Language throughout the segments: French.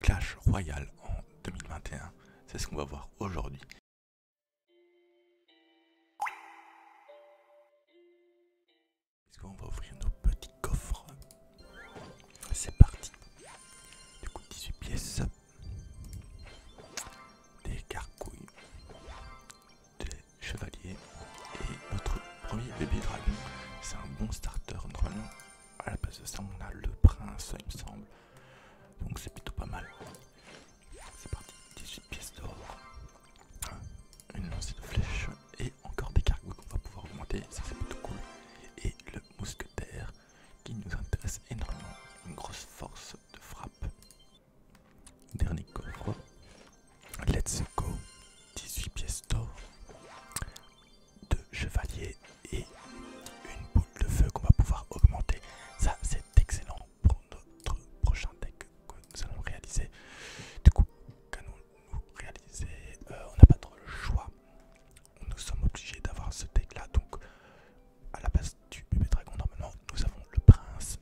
Clash Royale en 2021. C'est ce qu'on va voir aujourd'hui. est qu'on va ouvrir nos petits coffres C'est parti. Du coup, 18 pièces. Des carcouilles. Des chevaliers. Et notre premier bébé dragon. C'est un bon starter normalement à la base de ça, on a le prince, il me semble. Donc c'est plutôt pas mal. C'est parti, 18 pièces d'or, hein? une lancée de flèche et encore des cargos qu'on va pouvoir augmenter, ça c'est plutôt cool. Et le mousquetaire qui nous intéresse énormément, une grosse force de frappe. Dernier quoi. let's go, 18 pièces d'or de chevalier et une boule de feu qu'on va pouvoir augmenter. Ça c'est excellent pour notre prochain deck que nous allons réaliser. Du coup, qu'allons-nous réaliser euh, On n'a pas trop le choix. Nous sommes obligés d'avoir ce deck là. Donc à la base du bébé dragon normalement nous avons le prince.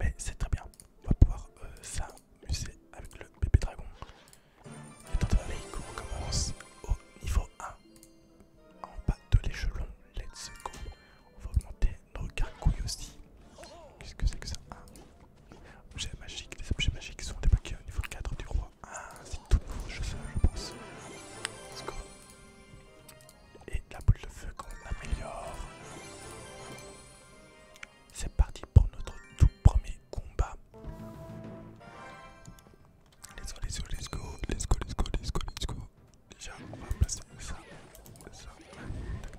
Mais c'est très bien. On va pouvoir euh, s'amuser avec le bébé dragon. Étant donné On commence au niveau 1, en bas de l'échelon, let's go. On va augmenter nos gargouilles aussi. Qu'est-ce que c'est que ça Objets magiques, les objets magiques sont débloqués au niveau 4 du roi. Ah, c'est tout nouveau je pense. Let's go. Et la boule de feu qu'on améliore. C'est parti pour notre tout premier combat. Let's go, let's go, let's go, let's go, let's go, let's go, Déjà, on va placer ça, ça,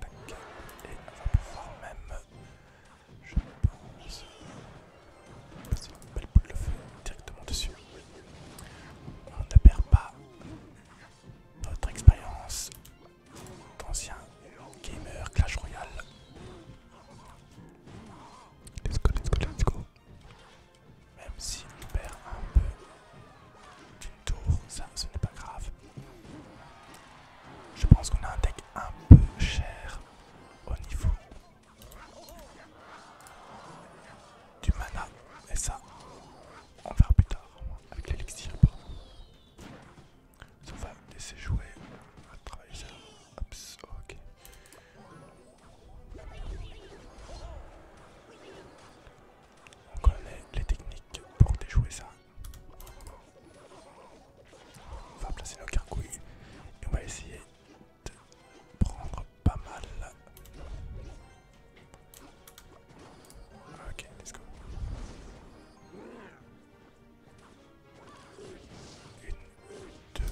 tac, tac. Et on va pouvoir même, je pense, passer une belle boule de feu directement dessus. On ne perd pas notre expérience d'ancien gamer Clash Royale. Let's go, let's go, let's go. Même si on perd un peu d'une tour, ça ce n'est pas grave. Je pense qu'on a un deck un peu cher au niveau du mana. Et ça, on verra plus tard avec l'élixir. Ça va me laisser jouer. à va ça. ok. On connaît les techniques pour déjouer ça. On va placer nos carcouilles et on va essayer de prendre pas mal. Ok, let's go. Une, deux.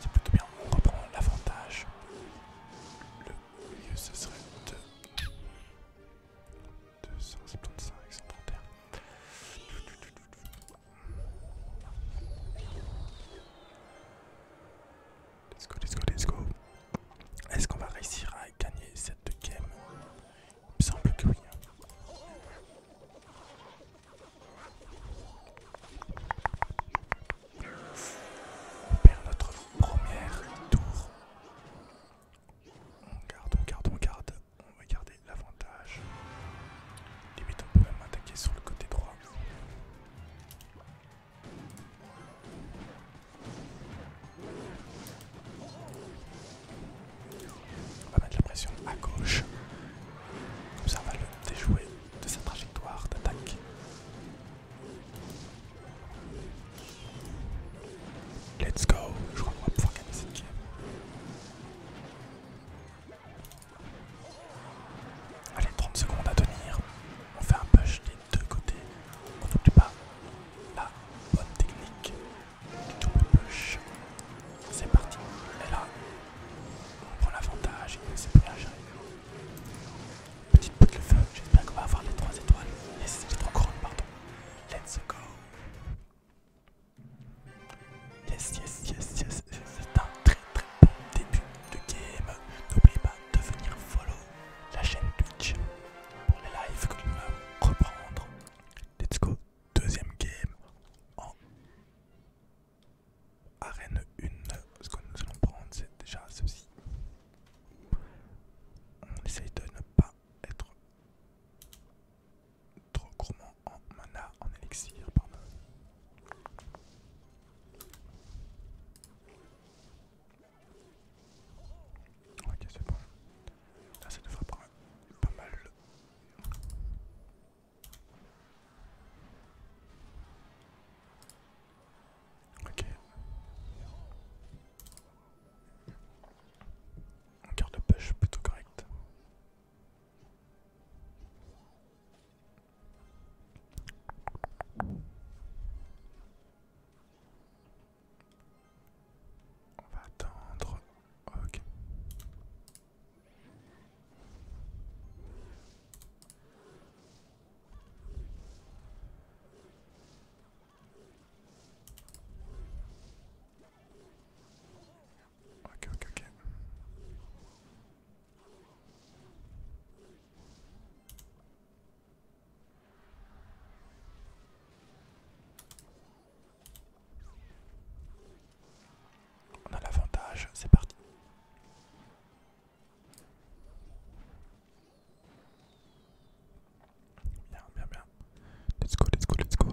C'est plutôt bien, on reprend l'avantage. Le mieux ce serait 2. 275, 131. Let's go, let's go, let's go. Est-ce qu'on va réussir à gagner cette game. Il me semble que oui. Hein. On perd notre première tour. On garde, on garde, on garde. On va garder l'avantage. Limite, on peut même attaquer sur le côté droit. On va mettre la pression à gauche. Comme ça, va le déjouer de sa trajectoire d'attaque. Let's go! Je crois qu'on va pouvoir gagner cette game. Allez, 30 secondes à tenir. On fait un push des deux côtés. On n'oublie pas la bonne technique. C'est parti. est là, on prend l'avantage et c'est plus j'arrive, Petite boucle de feu, j'espère qu'on va avoir les 3 étoiles. Les, c'est 3 couronnes, pardon. Let's go. Yes, yes, yes, yes. C'est un très très bon début de game. N'oubliez pas de venir follow la chaîne Twitch pour les lives que nous allons reprendre. Let's go. Deuxième game en arène 1. Ce que nous allons prendre, c'est déjà ceci. On essaye de ne pas être trop gourmand en mana, en élixir, pardon. Ok, c'est bon. Ah, ça devrait prendre pas mal. Ok. On garde de pêche plutôt correct. On va attendre. Ok, ok, ok. On a l'avantage, c'est parti. Bien, bien, bien. Let's go, let's go, let's go.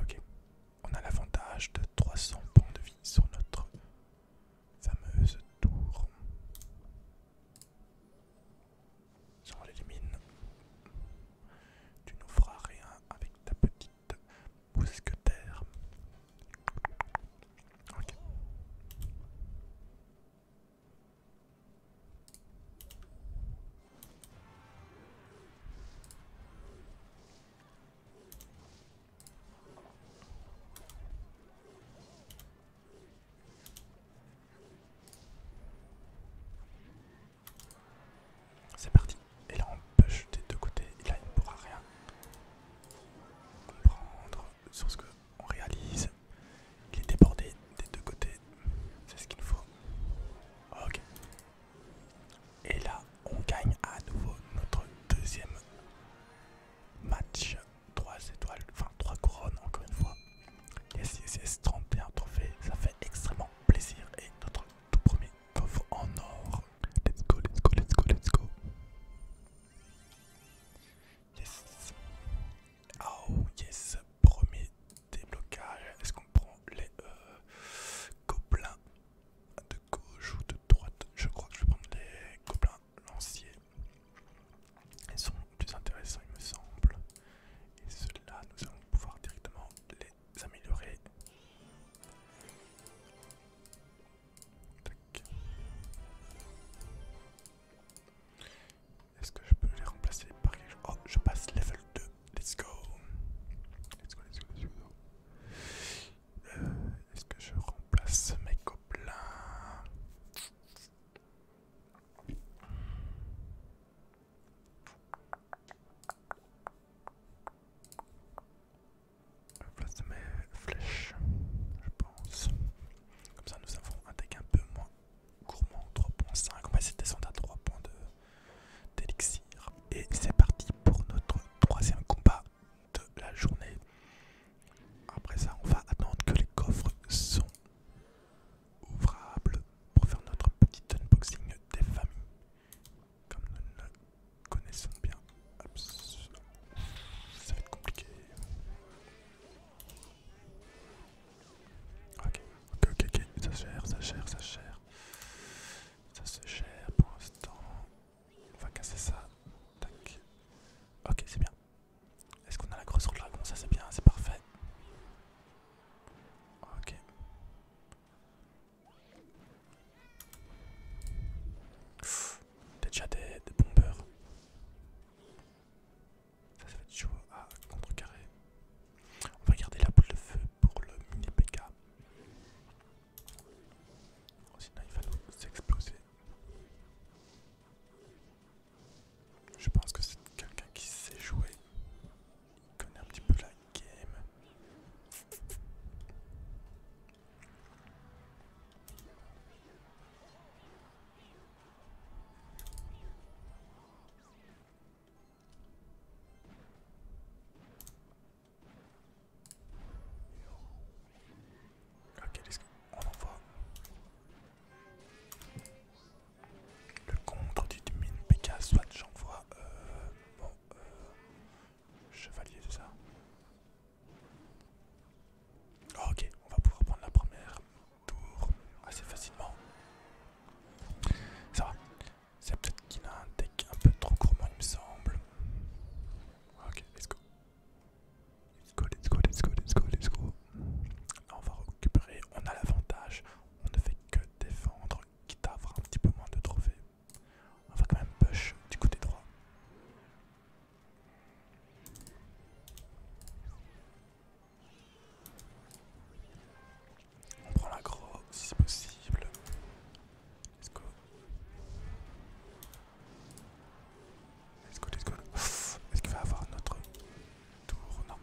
Ok. On a l'avantage de 300 points de vie sur notre fameuse tour. Si les l'élimine, tu nous feras rien avec ta petite mousquetaire. C'est parti. Et là on push des deux côtés. Et là il ne pourra rien comprendre sur ce qu'on réalise. Il est débordé des deux côtés. C'est ce qu'il nous faut. Ok. Et là on gagne à nouveau notre deuxième match 3 étoiles, enfin 3 couronnes encore une fois. Yes, yes, yes, 31 trophées, ça fait extrêmement plaisir. Et notre tout premier coffre en or. Let's go, let's go, let's go, let's go. Yes. Oh, yes, premier déblocage. Est-ce qu'on prend les euh, gobelins de gauche ou de droite Je crois que je vais prendre les gobelins lanciers. ils sont plus intéressants il me semble. Et ceux-là, nous allons pouvoir directement les améliorer. Est-ce que je peux les remplacer par les Oh, je passe level 2. Let's go. Let's go, let's go, euh, Est-ce que je remplace mes gobelins je place mes flèches, je pense. Comme ça, nous avons un deck un peu moins gourmand, 3.5. On va essayer de descendre à 3 points d'élixir. Et c'est parti pour notre troisième combat de la journée. Après ça, on va attendre que les coffres sont ouvrables pour faire notre petit unboxing des familles. Comme nous le connaissons bien. Ça va être compliqué. Ok, ok, ok, ça se ça se ça se Ça se gère pour l'instant. On va casser ça. Ok, c'est bien. Est-ce qu'on a la grosse sur de dragon Ça c'est bien, c'est parfait. Ok. déjà des, des bombeurs. Ça, ça va être chaud à contrecarrer. On va garder la boule de feu pour le mini PK. Oh, sinon, il va nous exploser. Je pense que c'est quelqu'un qui sait jouer. Il connaît un petit peu la game. Ok, On envoie. Le contre du mine PK, soit j'envoie. Euh, bon, euh, chevalier, c'est ça ah, Ok, on va pouvoir prendre la première tour assez facilement. Ça va. C'est peut-être qu'il a un deck un peu trop gourmand, il me semble. Ok, let's go. Let's go, let's go, let's go, let's go, let's go. on va récupérer, on a l'avantage, on ne fait que défendre, quitte à avoir un petit peu moins de trophées. On va quand même push du côté droit. On prend l'aggro si possible. Let's go. Est-ce qu'il va avoir notre tour Non.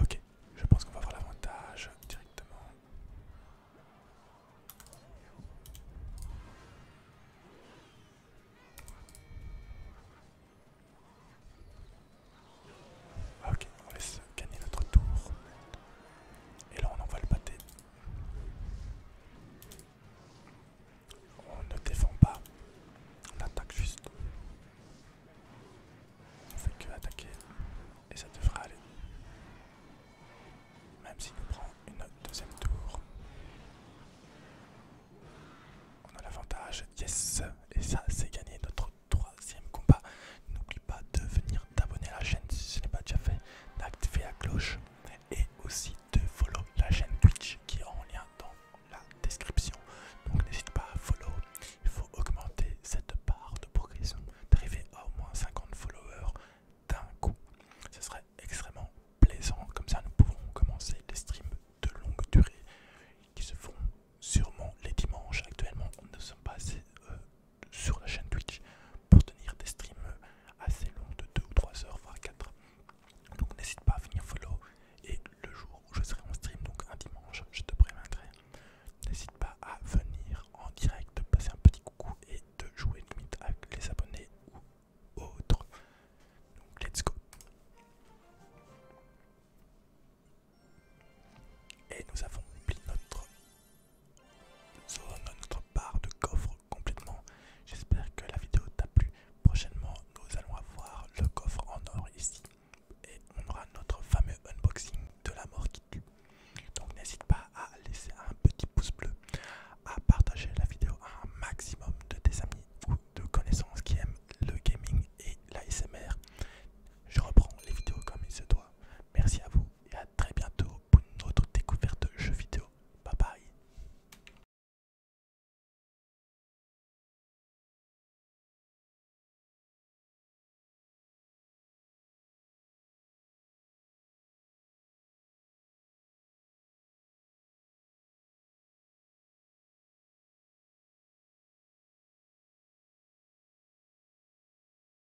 Ok, je pense qu'on va avoir l'avantage directement. Ok, on laisse gagner notre tour. Et là on envoie le pâté. On ne défend pas, on attaque juste. On fait que attaquer et ça devrait aller. Même s'il nous prend une deuxième tour. On a l'avantage, yes, et ça c'est gagné notre troisième combat. N'oublie pas de venir t'abonner à la chaîne si ce n'est pas déjà fait, d'activer la cloche et aussi de follow la chaîne Twitch qui est en lien dans la description. Donc n'hésite pas à follow, il faut augmenter cette part de progression, d'arriver à au moins 50 followers d'un coup. Ce serait extrêmement plaisant, comme ça nous pouvons commencer les streams de longue durée qui se font sûrement les dimanches. Actuellement, nous sommes pas assez. Euh, sur la chaîne Twitch pour tenir des streams assez longs de 2 ou 3 heures, voire 4. Donc n'hésite pas à venir follow et le jour où je serai en stream, donc un dimanche, je te préviendrai. N'hésite pas à venir en direct, de passer un petit coucou et de jouer limite avec les abonnés ou autres. Donc let's go. Et nous avons oublié notre sur notre part de coffre complètement. J'espère que la vidéo t'a plu. Prochainement, nous allons avoir le coffre en or ici. Et on aura notre fameux unboxing de la mort qui tue. Donc n'hésite pas à laisser un petit pouce bleu, à partager la vidéo à un maximum de tes amis ou de connaissances qui aiment le gaming et l'ASMR. Je reprends les vidéos comme il se doit. Merci à vous et à très bientôt pour une autre découverte de jeux vidéo. Bye bye.